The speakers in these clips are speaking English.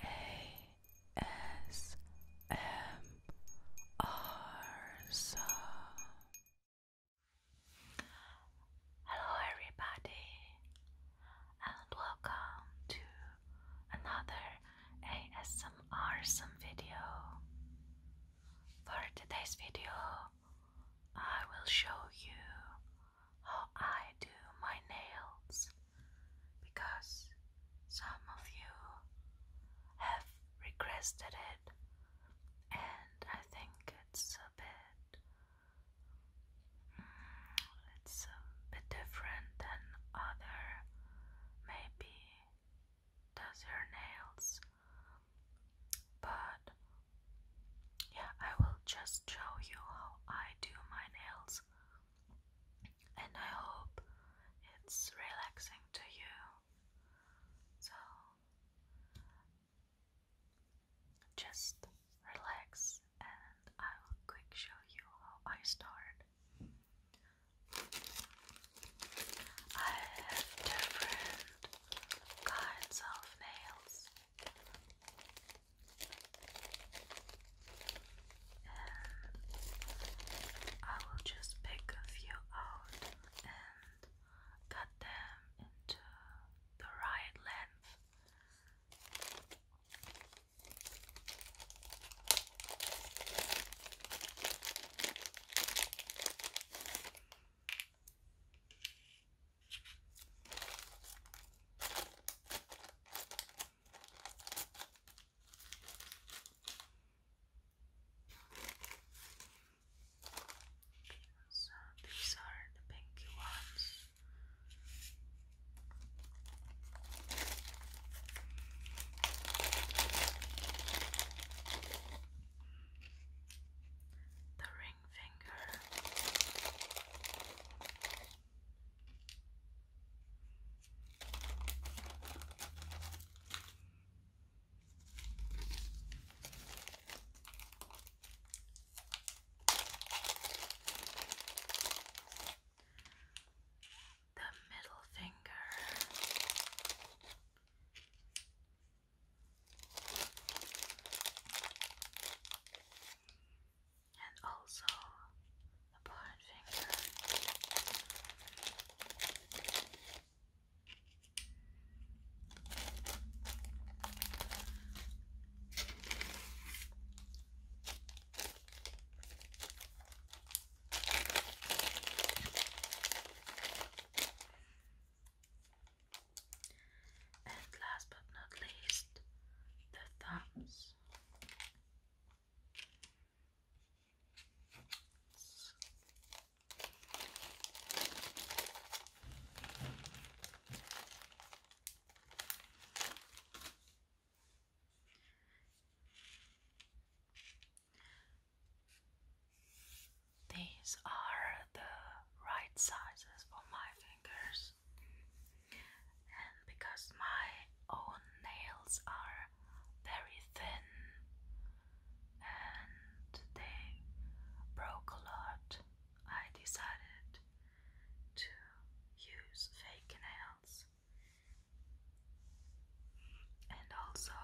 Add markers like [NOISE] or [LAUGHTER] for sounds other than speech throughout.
ASMR Hello, everybody, and welcome to another ASMR some video. For today's video, I will show you how oh, I do my nails because some of you have requested it, and I think it's a bit mm, it's a bit different than other maybe does your nails but yeah, I will just show you how I do my nails, and I hope it's relaxing to you. So just relax, and I will quick show you how I start. I have different kinds of nails. And I will just pick a few out and cut them into the right length. So these are the pinky ones. The ring finger. The middle finger and also the point finger. And last but not least, the thumbs. These are the right sizes for my fingers. And because my own nails are very thin and they broke a lot, I decided to use fake nails. And also,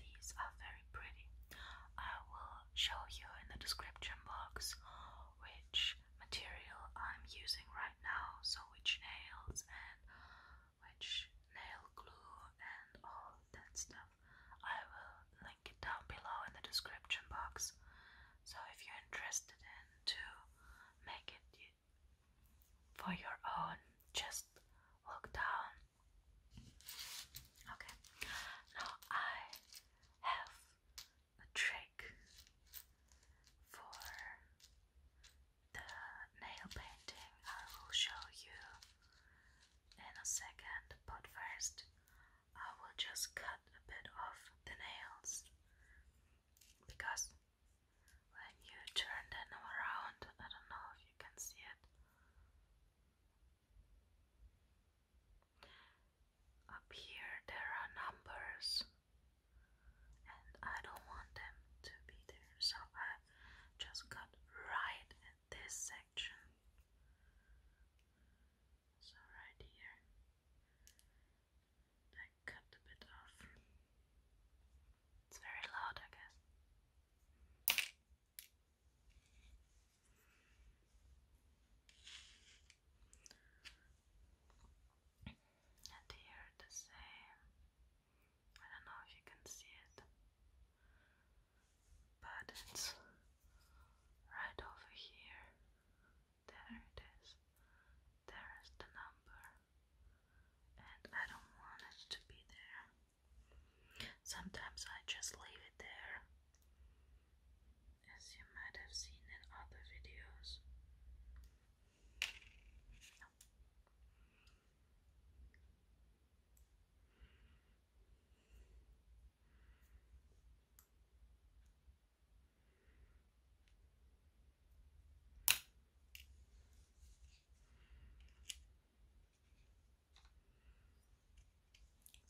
these are very pretty. I will show you in the description box which material I'm using right now, so which nails and which nail glue and all that stuff. I will link it down below in the description box. So if you're interested in to make it for your own, just look down. Okay. Now I have a tray for the nail painting, I will show you in a second, but first I will just cut a bit off the nails because when you turn them around, I don't know if you can see it. Up here there are numbers, and I don't want them to be there, so I just got right at this section. So, right here, I cut a bit off. It's very loud, I guess. And here the same. I don't know if you can see it, but it's right over here. There it is. There is the number, and I don't want it to be there. Sometimes I just leave it there as you might have seen in other videos.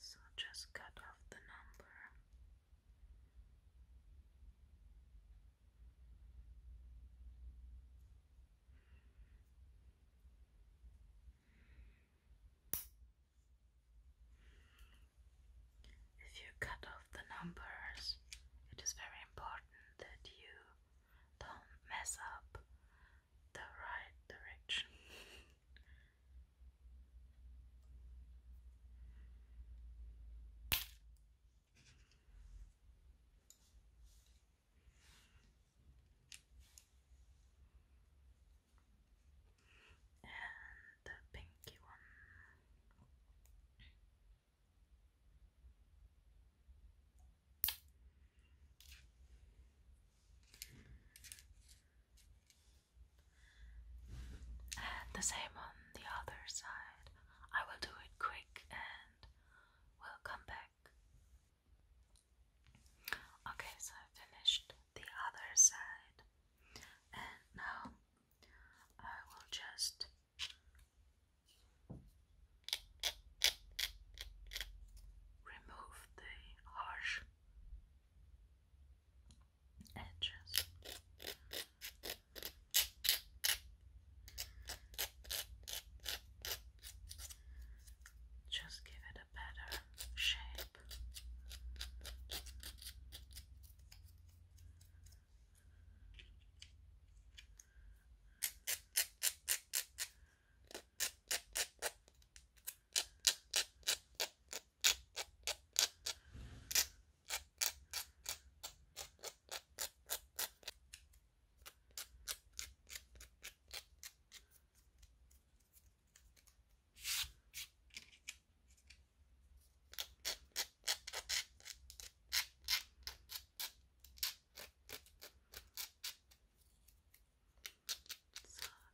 So just cut off the number. If you cut off the numbers, it is very important that you don't mess up the right direction. [LAUGHS] and the pinky one. And the same on the other side. I will do it quick and we'll come back. Okay, so I finished the other side, and now I will just. Remove the harsh edges. Just give it a better shape. So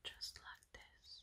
just like this.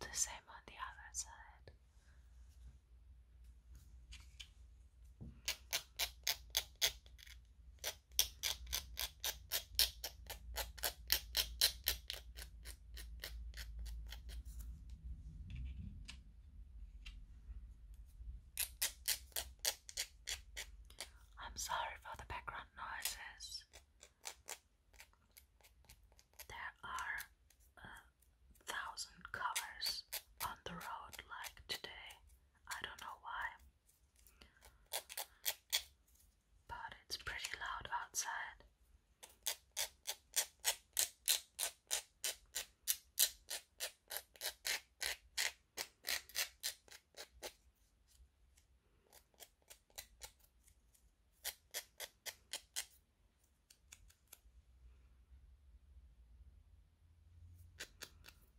the same on the other side. I'm sorry for the background noises. There are a thousand covers on the road like today. I don't know why but it's pretty loud outside.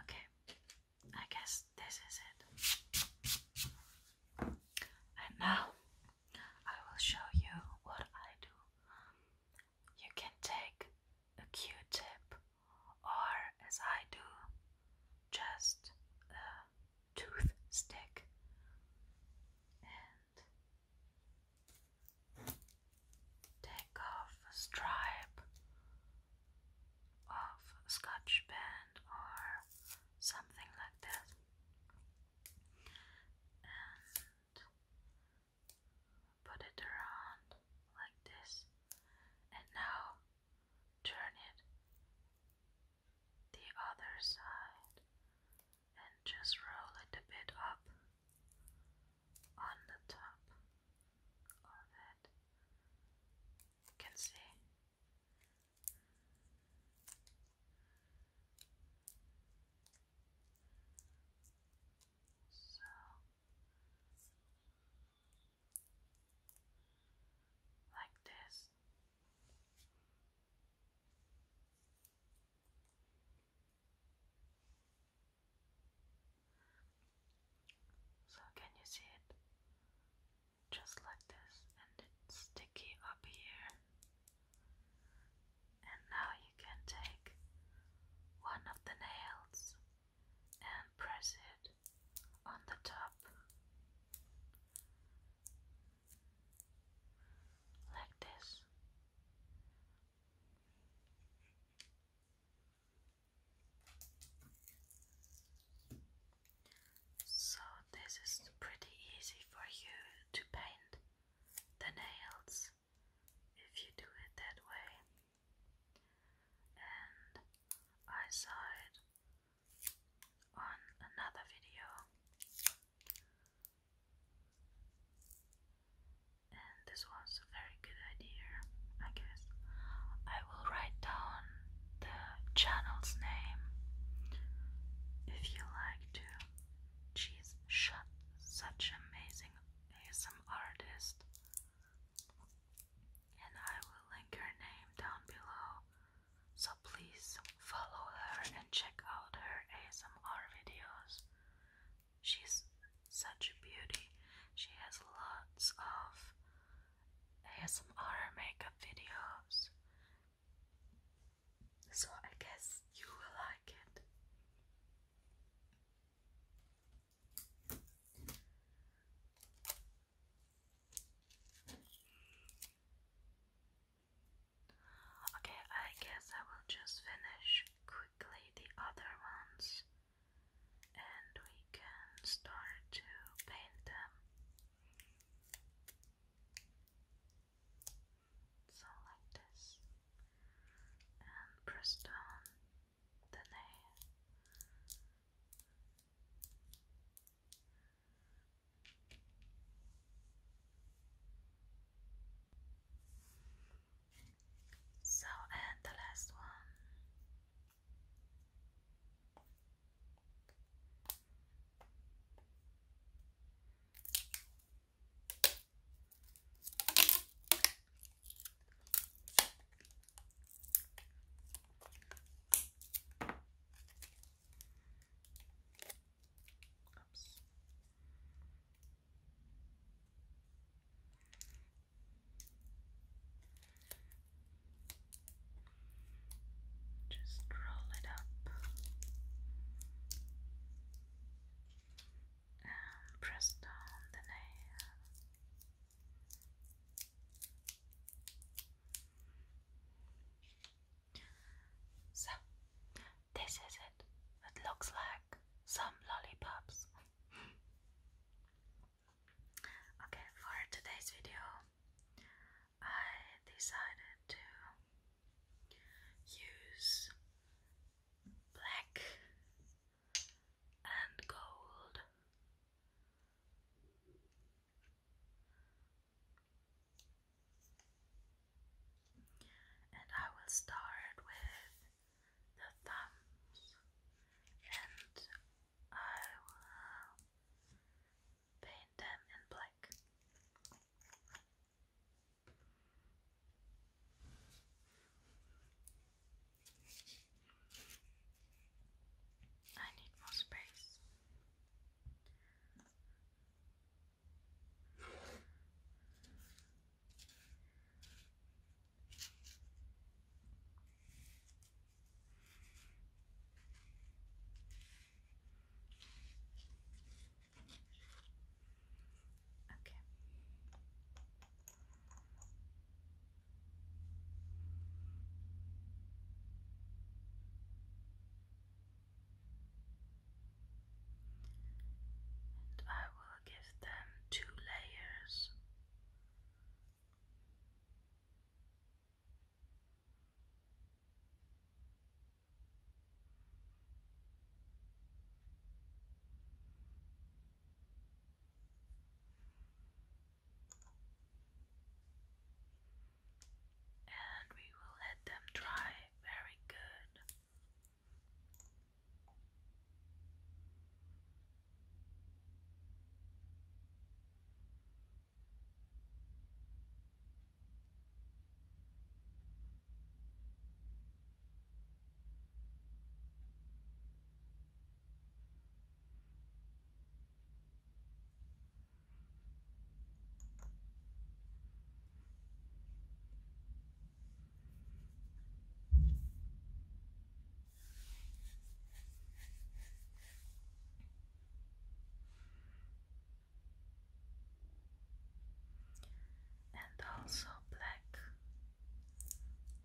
Okay, I guess this is it. And now I will show you what I do. You can take a Q tip or as I do, just a toothstick. And take off a stripe of scotch band or something like that. Put it around like this, and now turn it the other side and just roll it a bit up on the top of it. You can see. So like this. So, can you see it? Just like this, and it's sticky up here. And now you can take one of the nails and press it on the top like this. So, this is pretty easy for you to paint the nails if you do it that way and I saw it on another video, and this was a very good idea, I guess. I will write down the channel's name if you like to. She's shut such amazing ASM artist and I will link her name down below. So please follow her and check out her ASMR videos. She's such a beauty. She has lots of ASMR makeup videos. So I guess you will like it. Okay, I guess I will just finish quickly the other ones and we can start to paint them. So, like this, and press down than they so and the last one Oops. Just roll it up and press down the nail. So, this is it. It looks like some lollipops. okay, for today's video, I decided to use black and gold. And I will start with the thumbs, and I will paint them in black. I need more space. Okay. And I will give them two layers. And we will let them dry. Very good and also black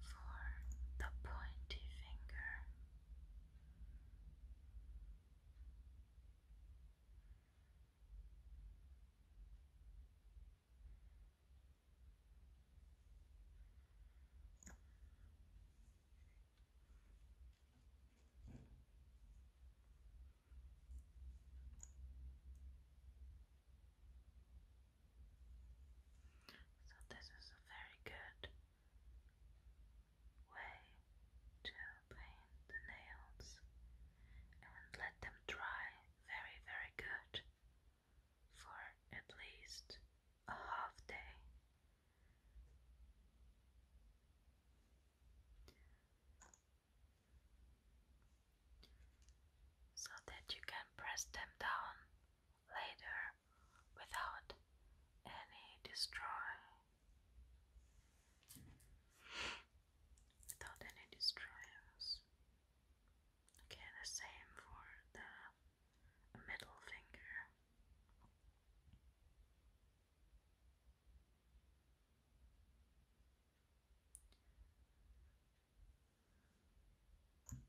for the pointy finger. So, this is a very good way to paint the nails and let them dry very, very good for at least a half day so that you can press them down later without any destroy without any destroyers. Okay, the same for the middle finger. And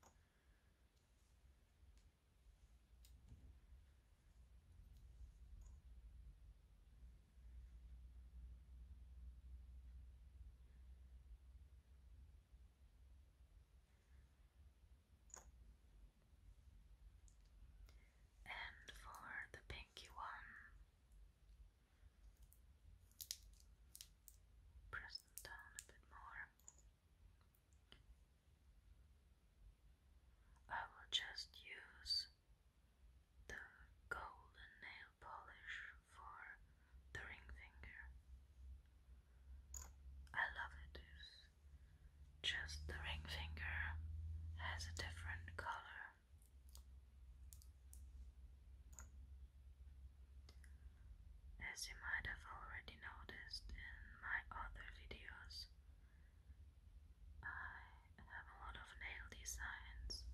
for the pinky one, press down a bit more. I will just use the golden nail polish for the ring finger. I love it just the ring finger has a different color. As you might have already noticed in my other videos, I have a lot of nail designs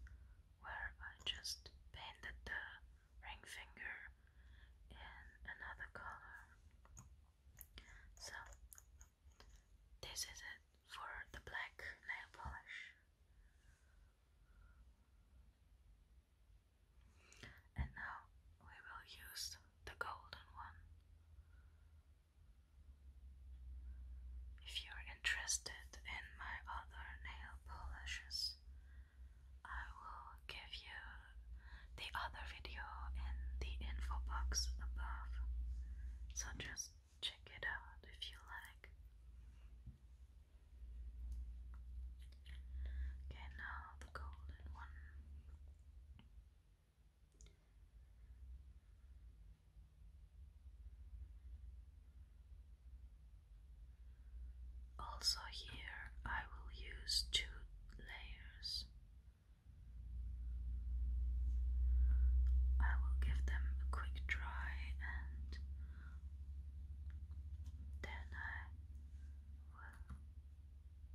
where I just painted the ring finger in another color. So, this is it for the black nail polish. And now we will use the golden one. If you're interested in my other nail polishes, I will give you the other video in the info box above. So just check it out if you like. Okay, now the golden one. Also, here I will use two layers. I will give them a quick dry and then I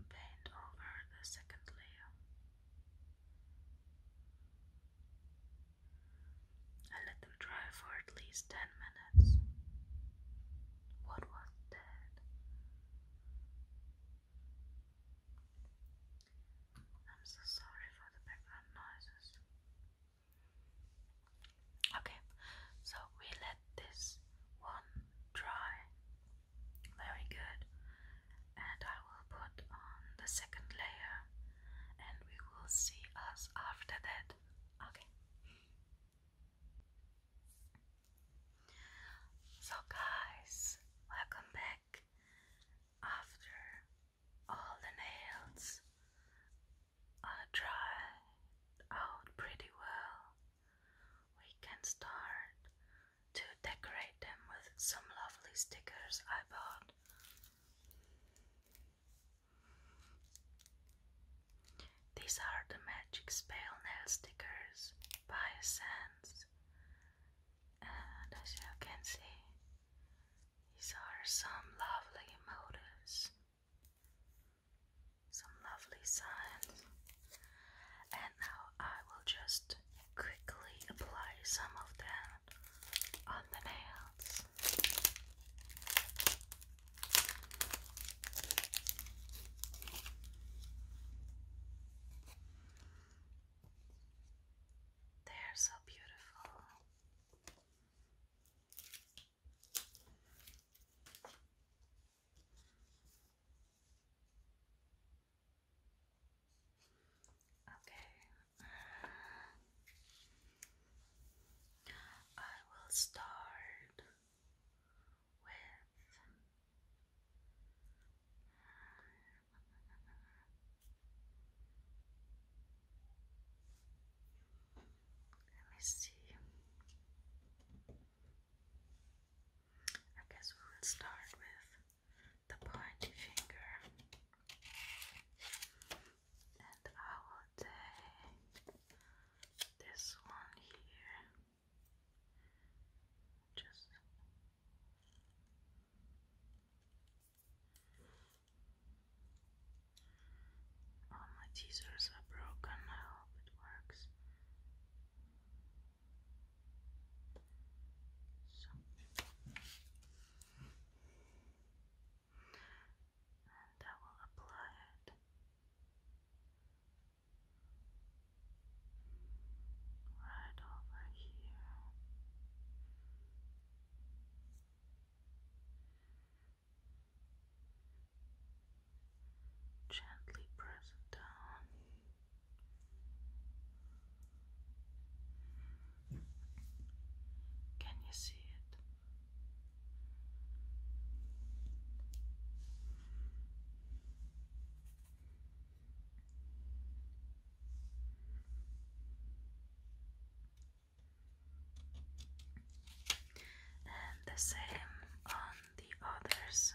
paint over the second layer. let them dry for at least 10 minutes. What was that? I'm so sorry for the background noises. Okay, so we let this one dry very good, and I will put on the second layer, and we will see us after that. Okay, so guys, welcome back after all the nails I out pretty well. We can start to decorate them with some lovely stickers I bought. These are the Magic Spell Nail Stickers by Essence. And as you can see, these are some lovely motives. Some lovely signs. And now I will just quickly apply some of them on the nails. They are so beautiful. Okay. I will start with let me see. I guess we will start with the pointy finger. And I will take this one here. Just all my teasers are broken. I hope it works. So. I will apply it right over here. Gently press it down. Can you see it? and the same on the other side.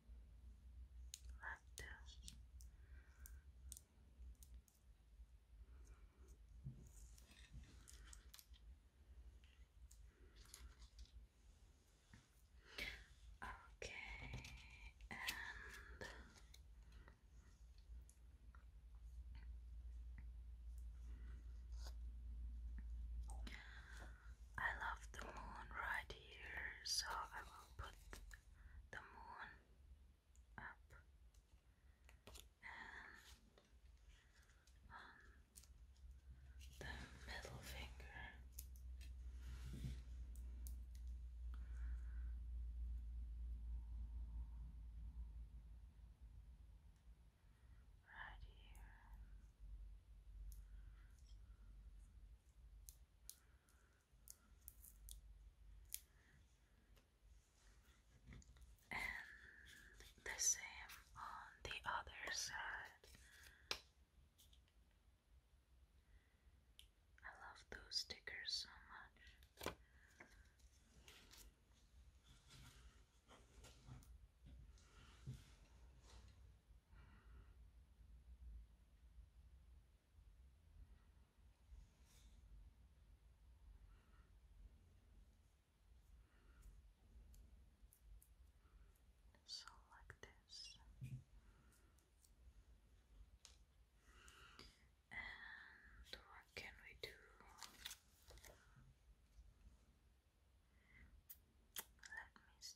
Love to. Okay, and I love the moon right here, so I will put the moon up and um, the middle finger. Right here and the same on the other side. I love those stickers so much. So like this. And what can we do? Let me see.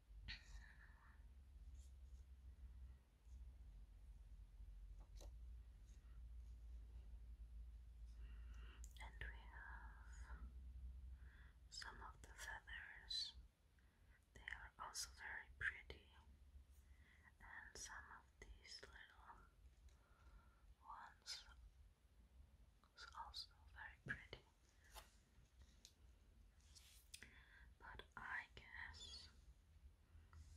And we have some of the feathers. They are also very pretty. And some of these little ones is also very pretty. But I guess let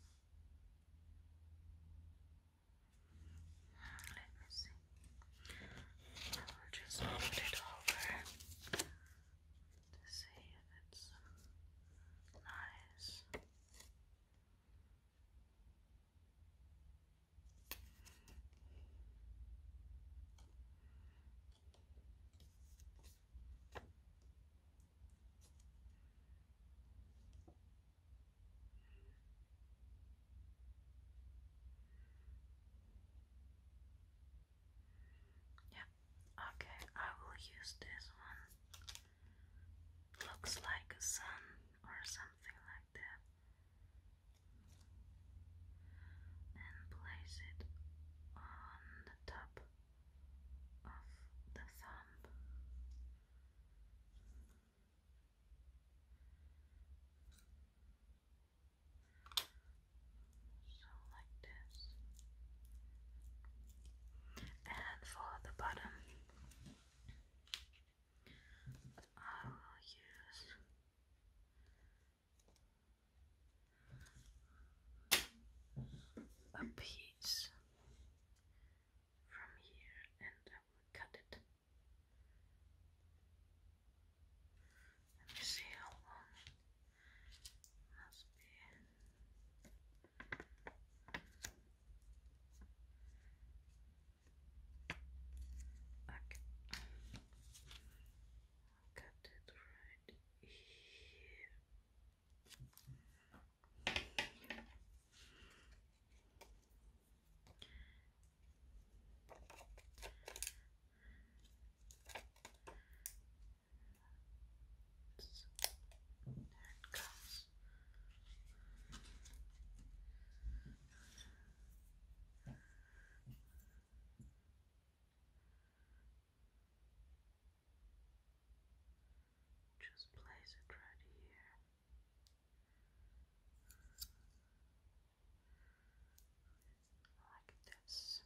me see. I will just put it over to see if it's nice. Yeah, okay, I will use this one. Looks like a sun or something like that and place it on the top of the thumb. So, like this. And for the bottom, I will use a piece from here and I will cut it. Let me see how long must be. Okay cut it right here. there it comes. Just place it right here. Like this.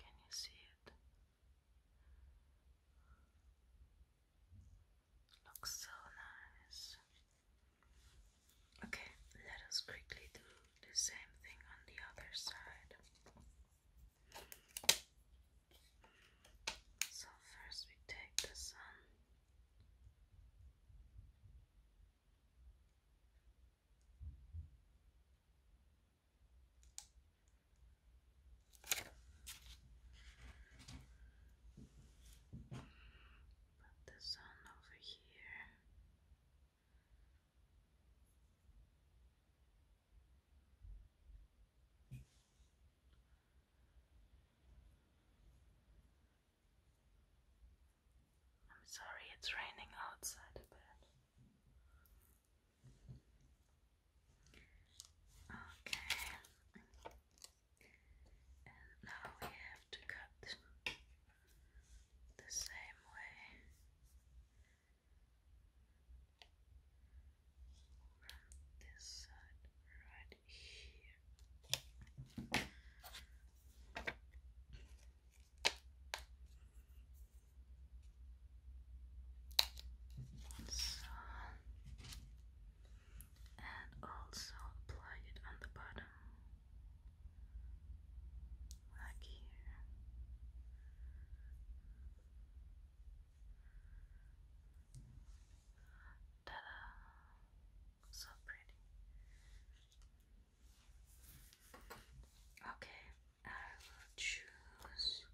Can you see it? Looks so nice. Okay, let us quickly do the same thing on the other side. So, first we take the sun the sun over here. I'm sorry, it's raining outside a bit. Okay, and now we have to cut the same way from this side right here and also apply it on the bottom, like here. Ta da! So pretty. Okay, I will choose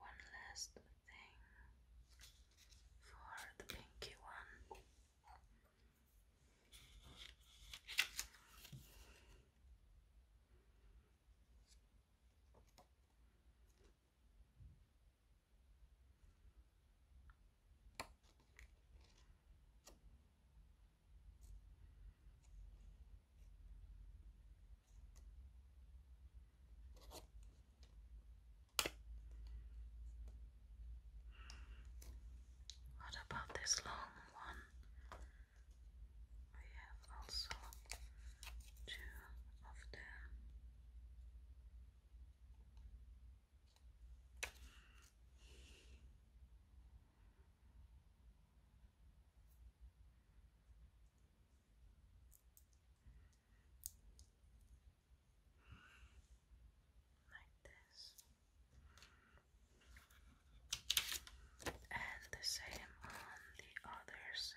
one last thing for the pinky one. What about this long one? We have also two of them like this, and the same on the other side.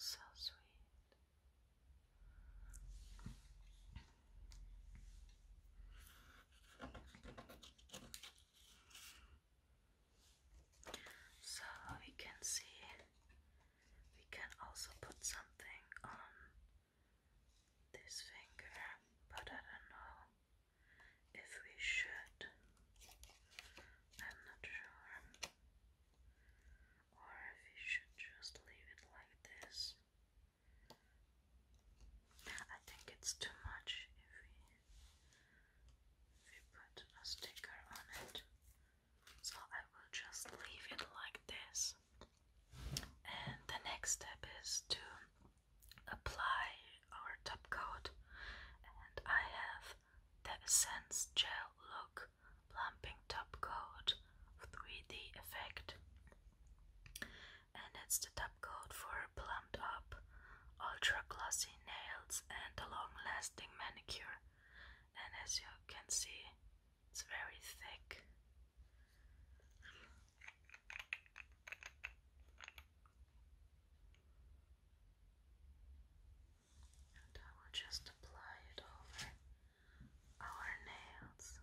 so sweet. So we can see we can also put something on this finger, but I don't know if we should. I'm not sure or if you should just leave it like this. I think it's too much if we, put a sticker on it, so I will just leave it like this. And the next step is to apply our top coat, and I have the sense Gel Look plumping top coat 3D effect. And it's the top coat for plumped up, ultra glossy nails and a long lasting manicure. And as you can see, it's very thick. And I will just apply it over our nails.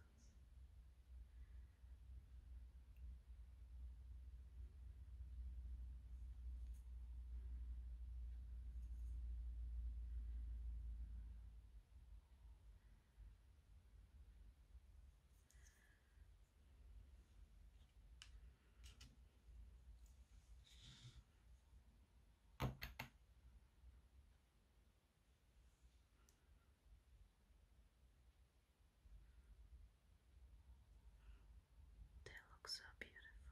They look so beautiful.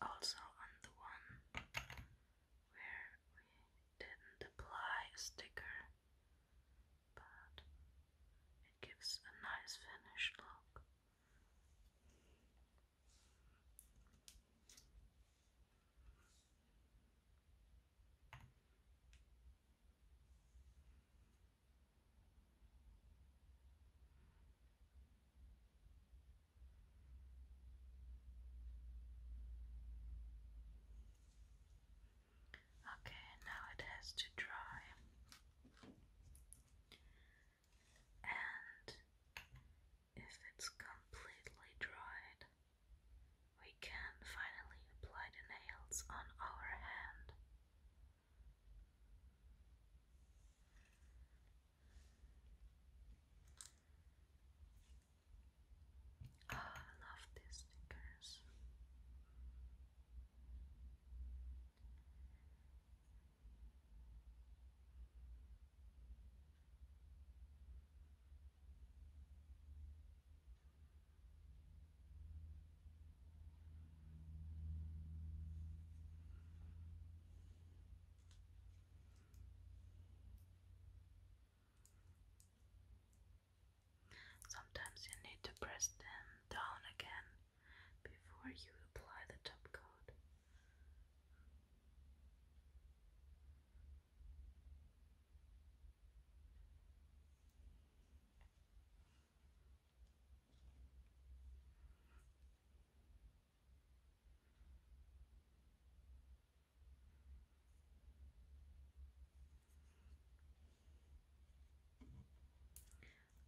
Also, on the one where we didn't apply a sticker, but it gives a nice finished look. Okay, now it has to dry and if it's completely dried, we can finally apply the nails on our hand. Oh, I love these stickers. Sometimes you need to press them down again before you apply the top coat.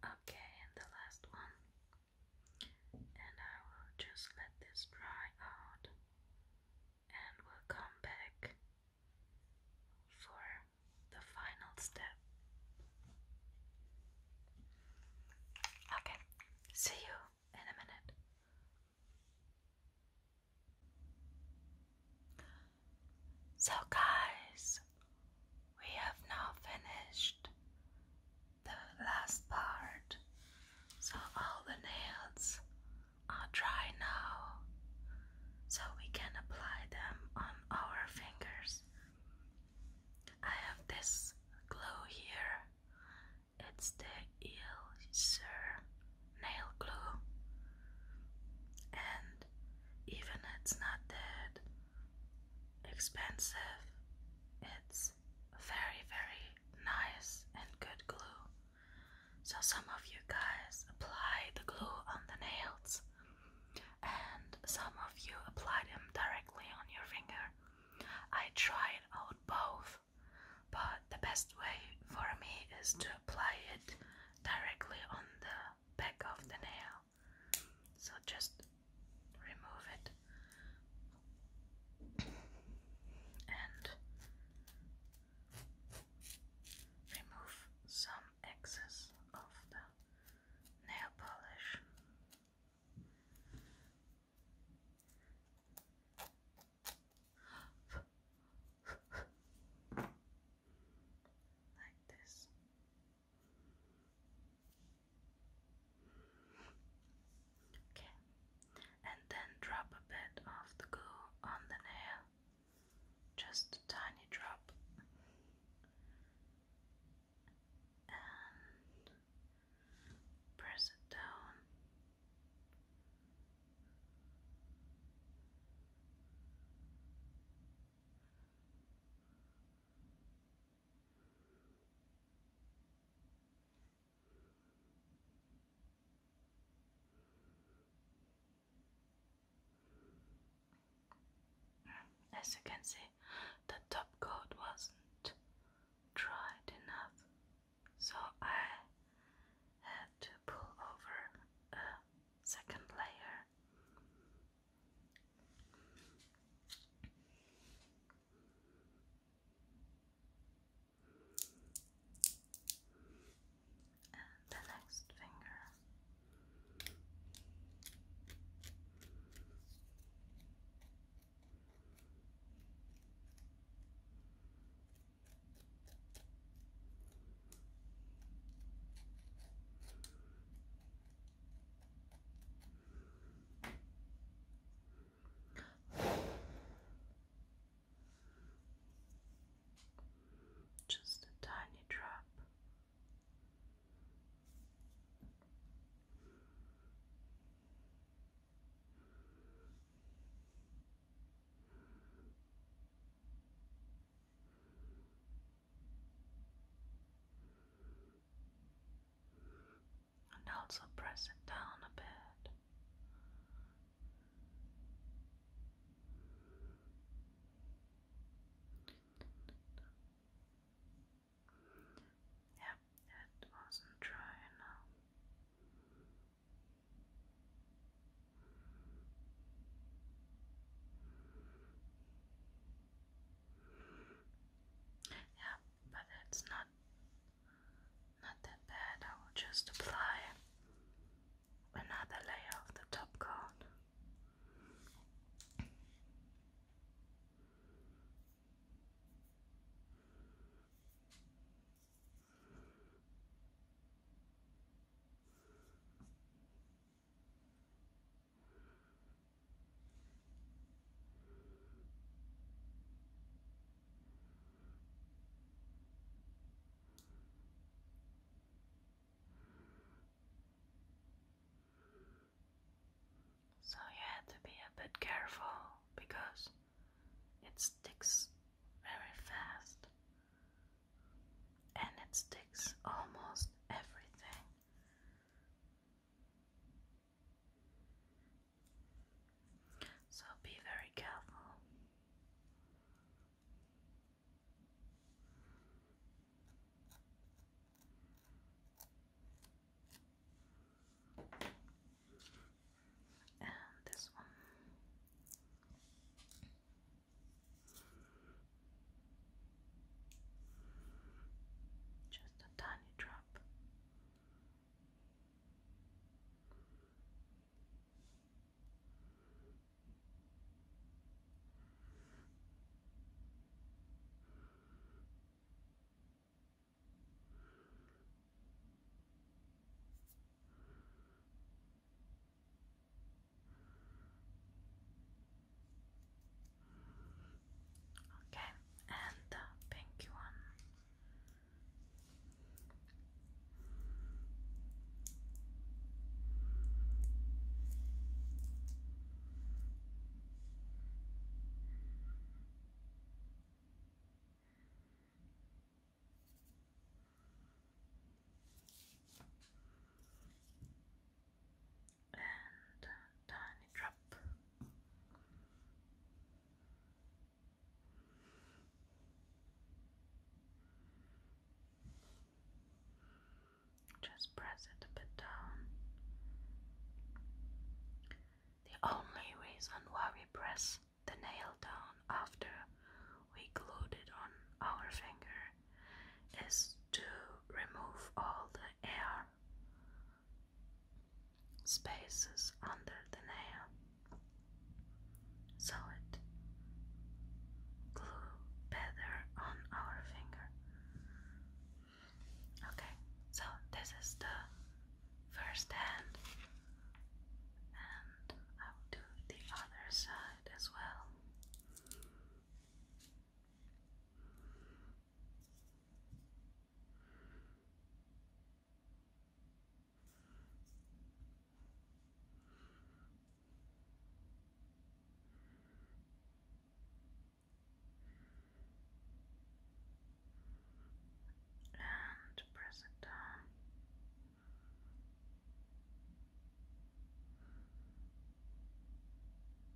Okay, and the last one and I will just let this dry out and we'll come back for the final step. Okay, see you in a minute. So, guys, we have now finished the last part, so all the nails are dry now, so we can apply them on our fingers. I have this glue here, it's the Elixir nail glue, and even it's not dead expensive. It's very, very nice and good glue. So, some of you guys apply the glue on the nails, and some of you apply them directly on your finger. I tried out both, but the best way for me is to apply it directly on the back of the nail so just remove it and remove some excess of the nail polish. like this. Okay, and then drop a bit of the goo on the nail, just a tiny drop, and press it down. As you can see, the top coat wasn't dried enough, so I had to pull over a second layer and the next finger. Just a tiny drop and also press it down a bit. Yep, it wasn't dry enough. Yeah, but that's not not that bad. I will just apply another layer of the top coat. So you had to be a bit careful because it sticks very fast and it sticks almost everything. So be very careful. And this one. Just a tiny drop. Okay, and the pinky one and tiny drop. Just press it a bit down. The only reason why we press the nail down after we glued it on our finger is to remove all the air spaces under the nail so it glue better on our finger. Okay, so this is the first hand and I'll do the other side as well and press it down.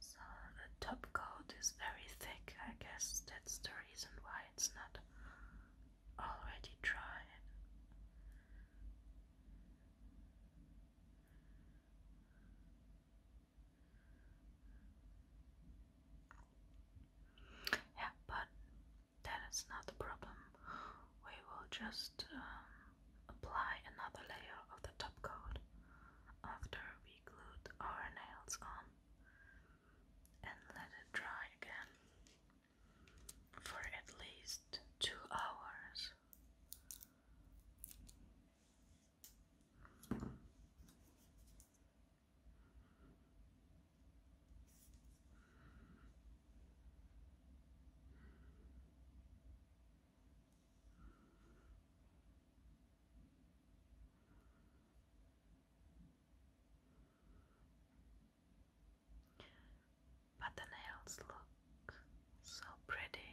So the top coat is very thick. I guess that's the reason why it's not already dry. Yeah, but that is not the problem. We will just um, Apply another layer of the top coat after we glued our nails on and let it dry again for at least two hours. But the nails look so pretty,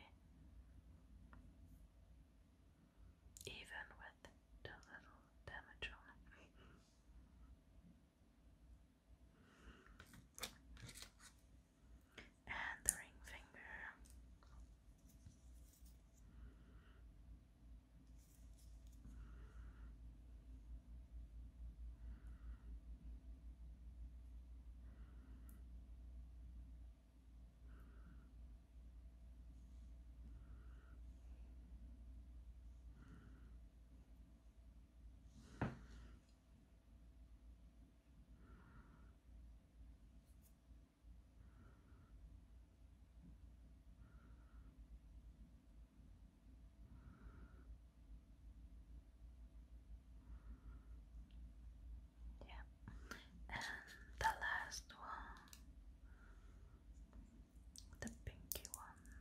even with the little damage on it and the ring finger. Yeah, and the last one, the pinky one.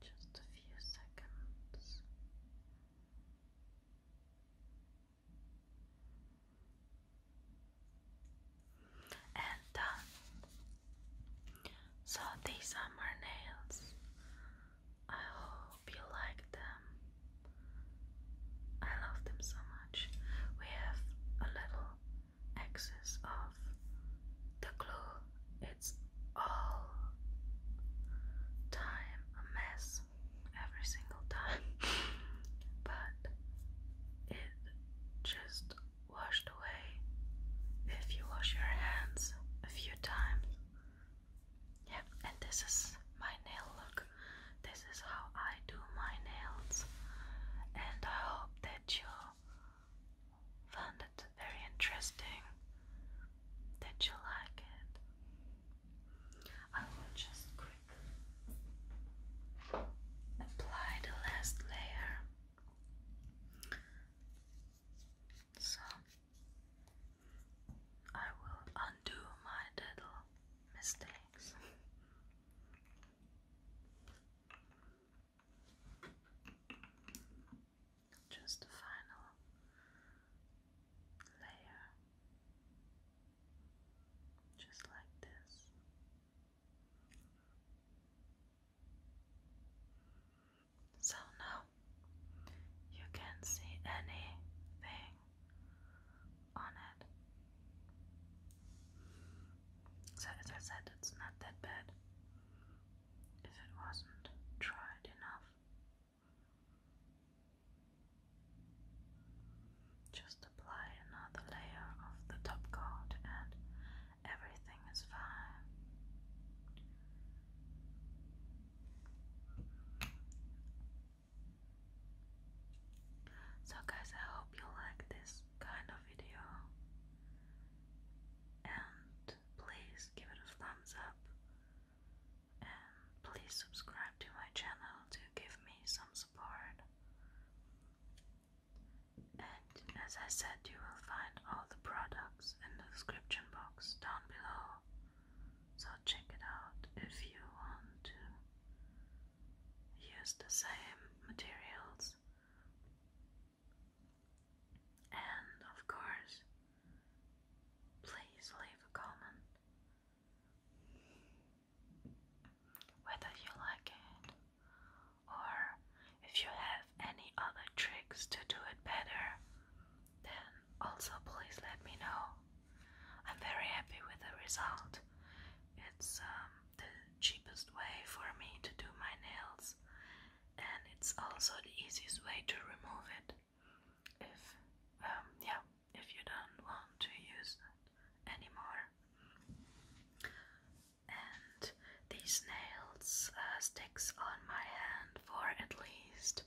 Just a few seconds and uh, So these are my nails. I hope you like them. I love them so much. We have a little excess of the glue. It's all time a mess every single time, [LAUGHS] but it just washed away if you wash your hands a few times. Yeah, and this is my nail look. This is how I do my nails, and I hope that you found it very interesting, that you like it. I will just apply the last layer. So I will undo my little mistakes. Just the final layer, just like this. So now you can see anything on it. So, as I said, it's not that bad if it wasn't dried enough. Just apply another layer of the top coat and everything is fine. So guys, I hope you like this kind of video. And please give it a thumbs up. And please subscribe to my channel to give me some support. And as I said, you will find all the products in the description box down below. So check it out if you want to use the same materials. And of course, please leave a comment whether you like it or if you have any other tricks to do it better then also please let me know i'm very happy with the result it's um, the cheapest way for me to do my nails and it's also the easiest way to remove it if um, yeah if you don't want to use it anymore. And these nails uh, sticks on my hand for at least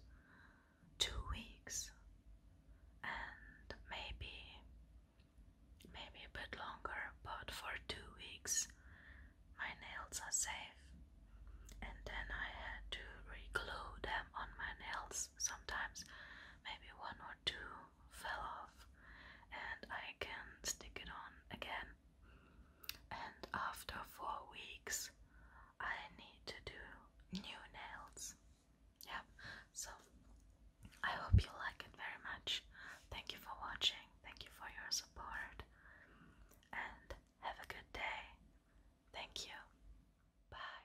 two weeks, and maybe maybe a bit longer. But for two weeks, my nails are safe. And then I had to re-glue them on my nails sometimes, maybe one or two fell off and I can stick it on again. And after four weeks, I need to do new nails. Yep, so I hope you like it very much. Thank you for watching, thank you for your support, and have a good day. Thank you. Bye.